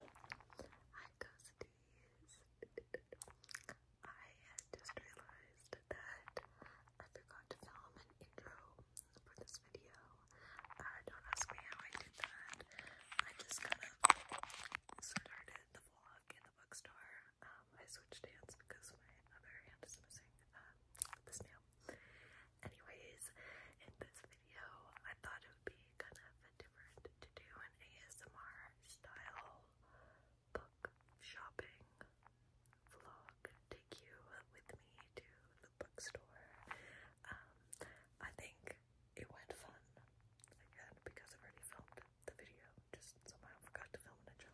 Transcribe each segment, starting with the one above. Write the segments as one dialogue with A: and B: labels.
A: I had just realized that I forgot to film an intro for this video. Uh, don't ask me how I did that. I just kind of started the vlog in the bookstore. Um, I switched hands because my other hand is missing uh, this nail. Anyways, in this video, I thought it would be kind of different to do an ASMR style book shopping vlog. Take you with me to the bookstore. Um, I think it went fun again because i already filmed the video, just somehow forgot to film an intro.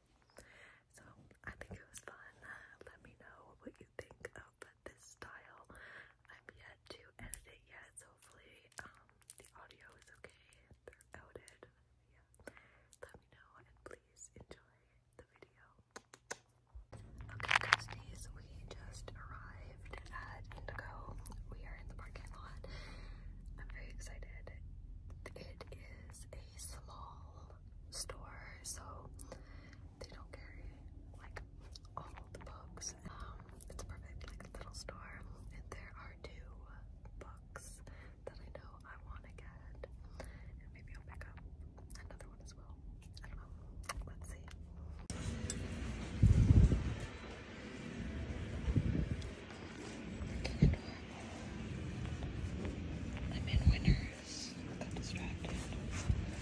A: So I think it was fun. Uh, let me know what you think of this style. I'm yet to edit it yet, so hopefully um, the audio is okay throughout it. Yeah, let me know and please enjoy the video. Okay, besties, we just arrived at Indigo. We are in the parking lot. I'm very excited. It is a small store, so they don't carry like all the books. Um, it's perfect like little store, and there are two books that I know I want to get, and maybe I'll pick up another one as well. I don't know. Let's see. I'm in winners. got distracted.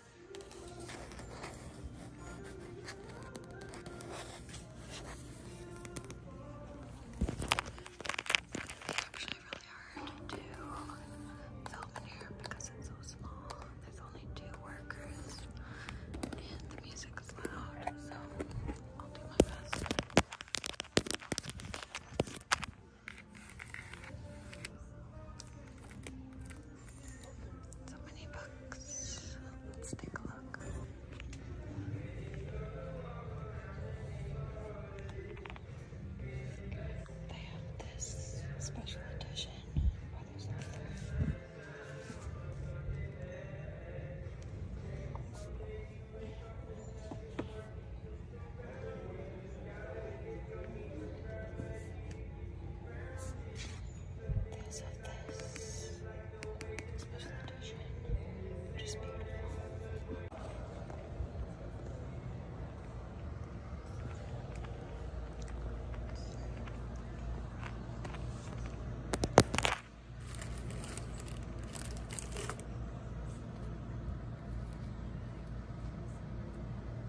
A: actually really hard to film in here because it's so small. There's only two workers and the music is loud, so I'll do my best. So many books. Let's take a look. They have this special edition because of this special edition, which is beautiful.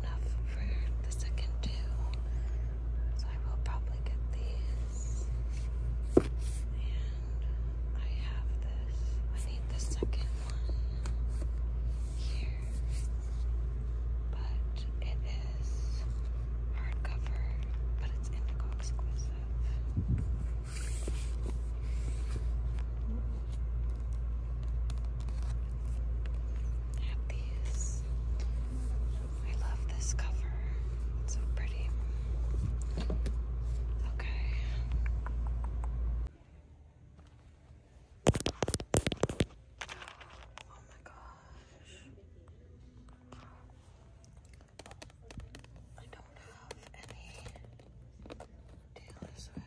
A: enough for the second two. So I will probably get these. I have this. I need the second one here. But it is hardcover, but it's indigo exclusive have these. I love this cover. It's so pretty. Okay. Oh my gosh. I don't have any Taylor Swift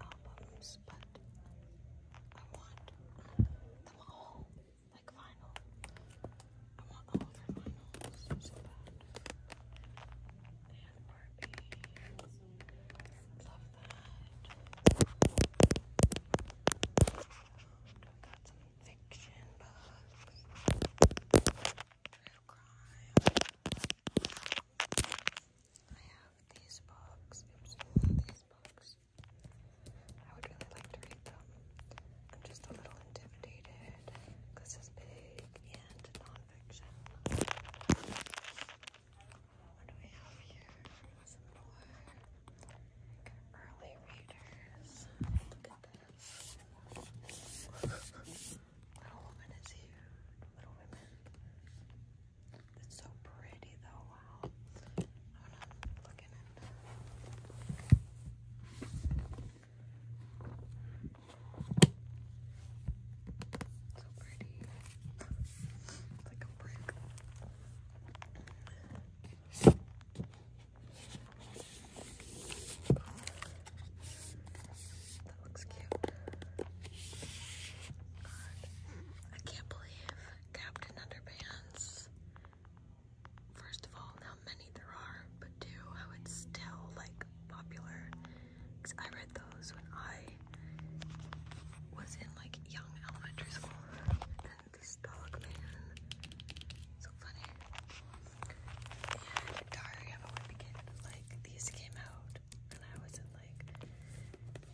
A: albums those, but I want them all, like vinyl. I want all of vinyls so bad. And Barbie, love that. I've got some fiction books. Real crime. I have these books. these books. I would really like to read them. I'm just a little intimidated because it's big and nonfiction. What do we have here? Some more early readers. Little Woman is huge. Little Women. It's so pretty though, I wanna look in So pretty. It's like a brick. That looks cute. I can't believe Captain Underpants. First of all, how many there are, but two, how it's still like popular. Cause I read those when I was in like young elementary school. And this dog man, so funny. And Diary of a Wimpy Kid, like these came out when I was in like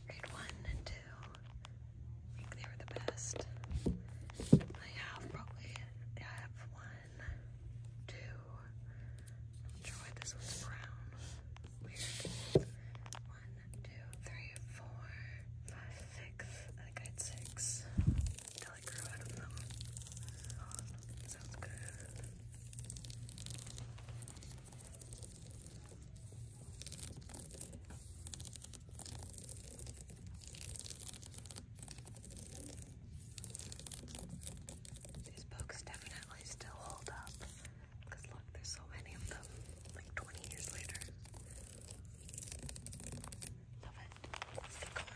A: grade one and two. think they were the best. I have probably I have one, two. I'm not sure why this one's brown. Weird. One, two, three, four, five, six. I think I had six. Until I grew out of them. sounds good. These books definitely still hold up because look, there's so many of them like 20 years later. Love it. Stick on.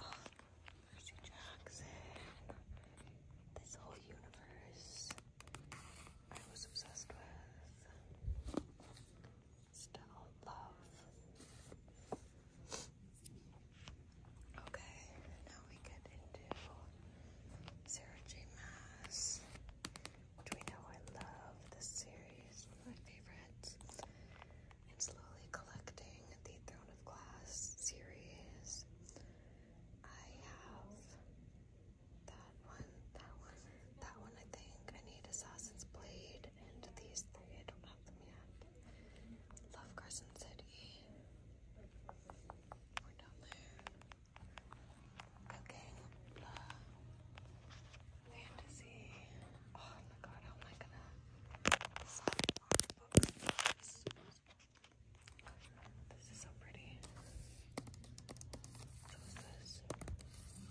A: Oh, Percy Jackson, this whole universe I was obsessed with. Still love. Okay, now we get into Sarah J. Mass, Which we know I love this series, my favorites and slowly collecting the Throne of Glass series. I have that one, that one, that one I think. I need Assassin's Blade and these three. I don't have them yet. Love Crescent City. We're down Fantasy. Oh my god, how am I gonna box. This is so pretty. So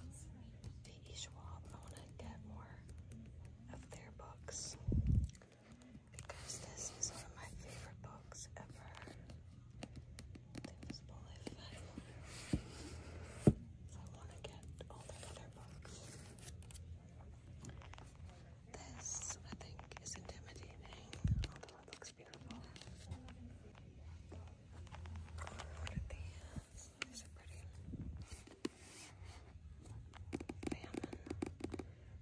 A: is this P.E. Schwab. I want to get more of their books because this is one of my favorite books ever. The Invisible Life I want to get all their other books. This, I think, is intimidating, although it looks beautiful. Look at these. These are pretty.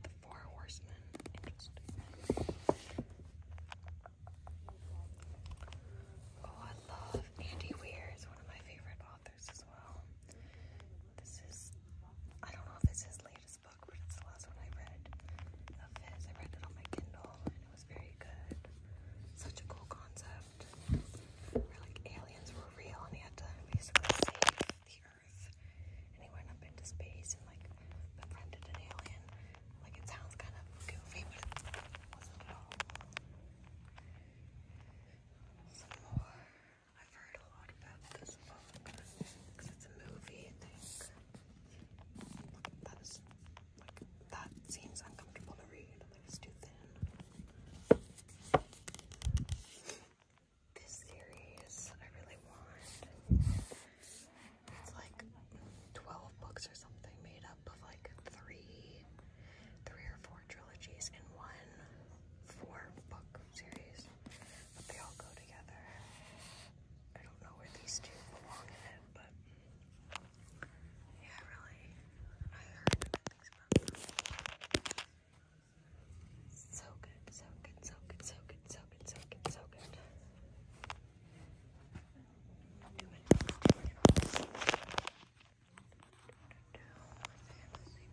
A: The Four Horsemen. Oh, I love Andy Weir. He's one of my favorite authors as well. This is, I don't know if it's his latest book, but it's the last one I read of his. I read it on my Kindle and it was very good. Such a cool concept where like aliens were real and he had to basically save the earth. And he went up into space and like befriended an alien. Like it sounds kind of goofy, but it wasn't at all. Some more. I've heard a lot about this book because it's a movie, that seems uncomfortable to read. it's too thin. This series I really want. It's like 12 books or something made up of like three three or four trilogies in one four book series, but they all go together. I don't know where these two belong in it, but yeah, really, So good, so good, so good, so good, so good, so good, so good fantasy, fantasy.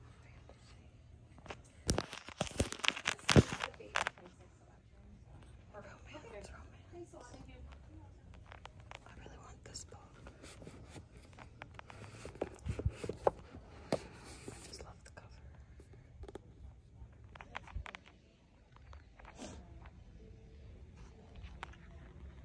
A: Romance, romance. I really want this book. I just love the cover.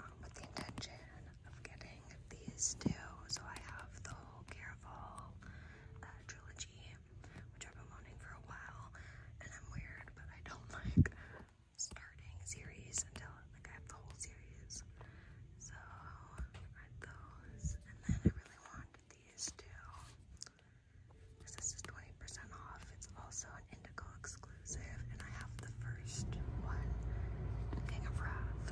A: Um, with the intention of getting these two. So I have the whole Careful uh, trilogy, which I've been wanting for a while, and I'm weird, but I don't like starting series until like I have the whole series. So I read those, and then I really want these two. Because this is 20% off. It's also an Indigo exclusive, I have the first one, King of Wrath,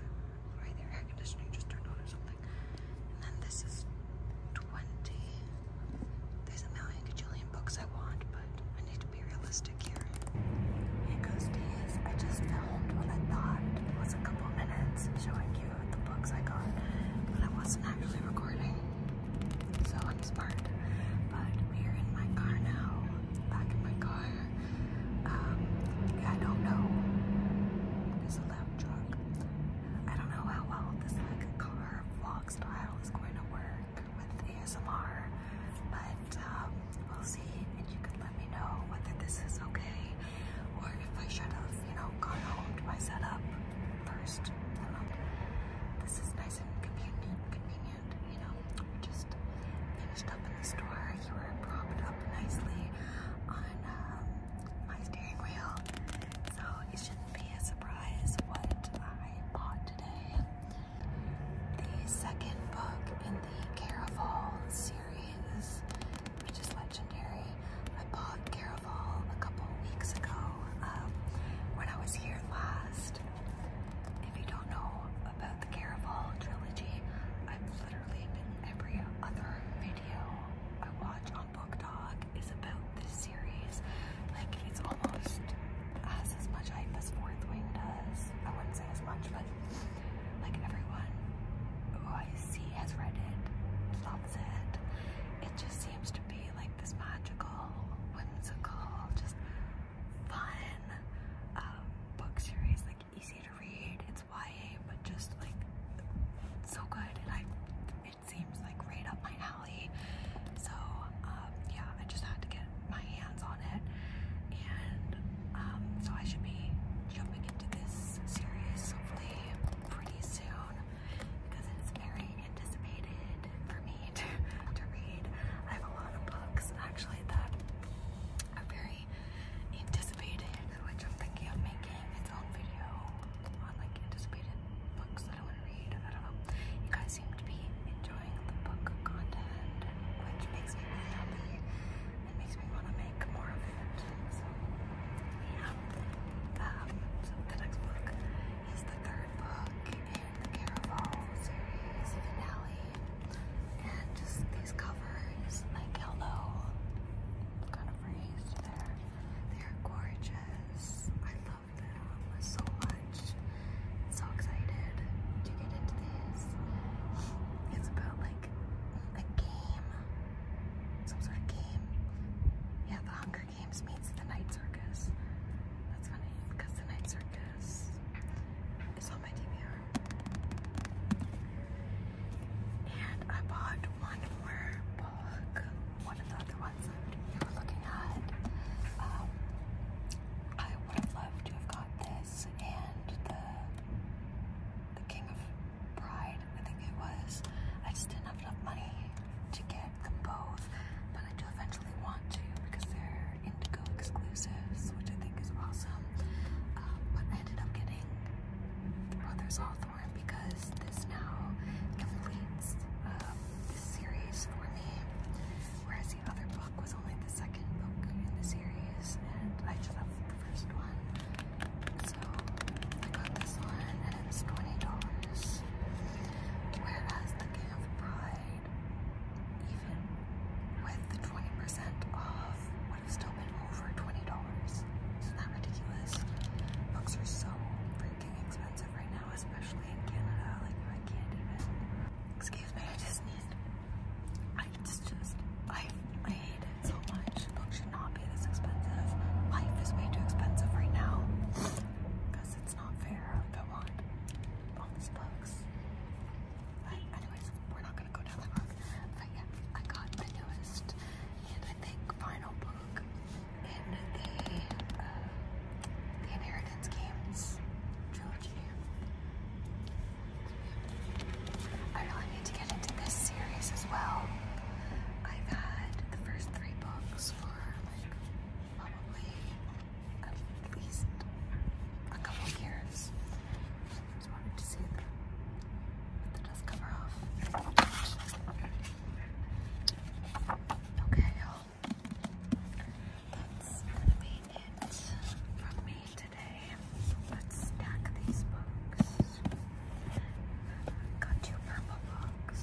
A: right there, air conditioning just turned on or something, and then this is 20, there's a million gajillion books I want, but I need to be realistic here. Hey Ghosties, I just filmed what I thought was a couple minutes showing you the books I got, but I wasn't actually recording, so I'm smart, but we are in my car now, back in my car, um, I don't know. There's a loud truck. I don't know how well this like vlog style is going to work with ASMR, but um, we'll see. And you can let me know whether this is okay or if I should have, you know, gone home to my setup first. I don't know. This is nice and convenient, convenient, you know just finished up in the store. You were propped up nicely on um, my steering wheel. So it shouldn't be a surprise what I bought today. The second book in the Caraval series, which is legendary. I bought Caraval a couple weeks ago um, when I was here last. If you don't know, about the Caraval trilogy. I've literally been every other video I watch on Book Talk is about this series. Like it's almost has as much hype as Fourth Wing does. I wouldn't say as much, but like everyone who I see has read it, loves it. It just seems to be like this magical, whimsical, just fun um, book series Like easy to read. It's YA, but just like so good, and I it seems like right up my alley. So um, yeah, I just had to get my hands on it, and um, so I should be jumping into this series hopefully pretty soon because it's very anticipated for me to, to read. I have a lot of books actually that a very anticipated, which I'm thinking of making its own video on like anticipated books that I want to read. I don't know. You guys seem to be enjoying the book content, which makes me really happy. It makes me want to make more of it. So um, so the next book is the third book in the Caraval series finale and just these covers, like yellow, kind of raised there. They're gorgeous. I love that so much. I'm so excited to get into this. It's about like a game, some sort of game. Yeah, the Hunger Games meets the Night Circus. That's funny because the Night Circus is on my DVR. And I bought one more book, one of the other ones that were looking at. Um, I would have loved to have got this and the the King of Pride, I think it was. I just didn't have enough money to get them both, but I do eventually want to because they're Indigo exclusives, which I think is awesome. Um, but I ended up getting the Brothers Hawthorne because this now completes um, the series for me, whereas the other book was only the second book in the series, and I just have the first one. So I got this one, and it's $20. Whereas the Camp Pride even with the 20% off, would still been over $20. Isn't that ridiculous? Books are so freaking expensive right now, especially in Canada. Like, I can't even. Excuse me, I just need. I just, just I, I hate it so much. Books should not be this expensive. Life is way too expensive right now. Because it's not fair to want all these books. But anyways, we're not gonna go down that road. But yeah, I got the newest and I think final book in the uh, the Inheritance Games trilogy. I really need to get into this series as well. I've had the first three books for like probably at least a couple years. Just wanted to see the dust cover off. Okay, y'all. That's gonna be it from me today. Let's stack these books. Got two purple books.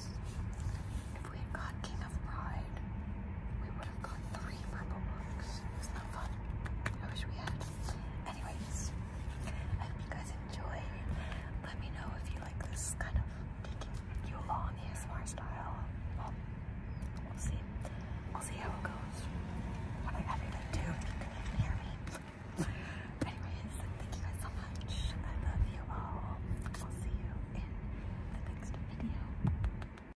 A: If we got King of Pride, we would have got three purple books. It not fun. I wish we had. Anyways, I hope you guys enjoy. Let me know if you like this kind of taking you along ASMR style. Well, um, we'll see. We'll see how it goes. What I actually do, hear me. Anyways, thank you guys so much. I love you all. I'll see you in the next video.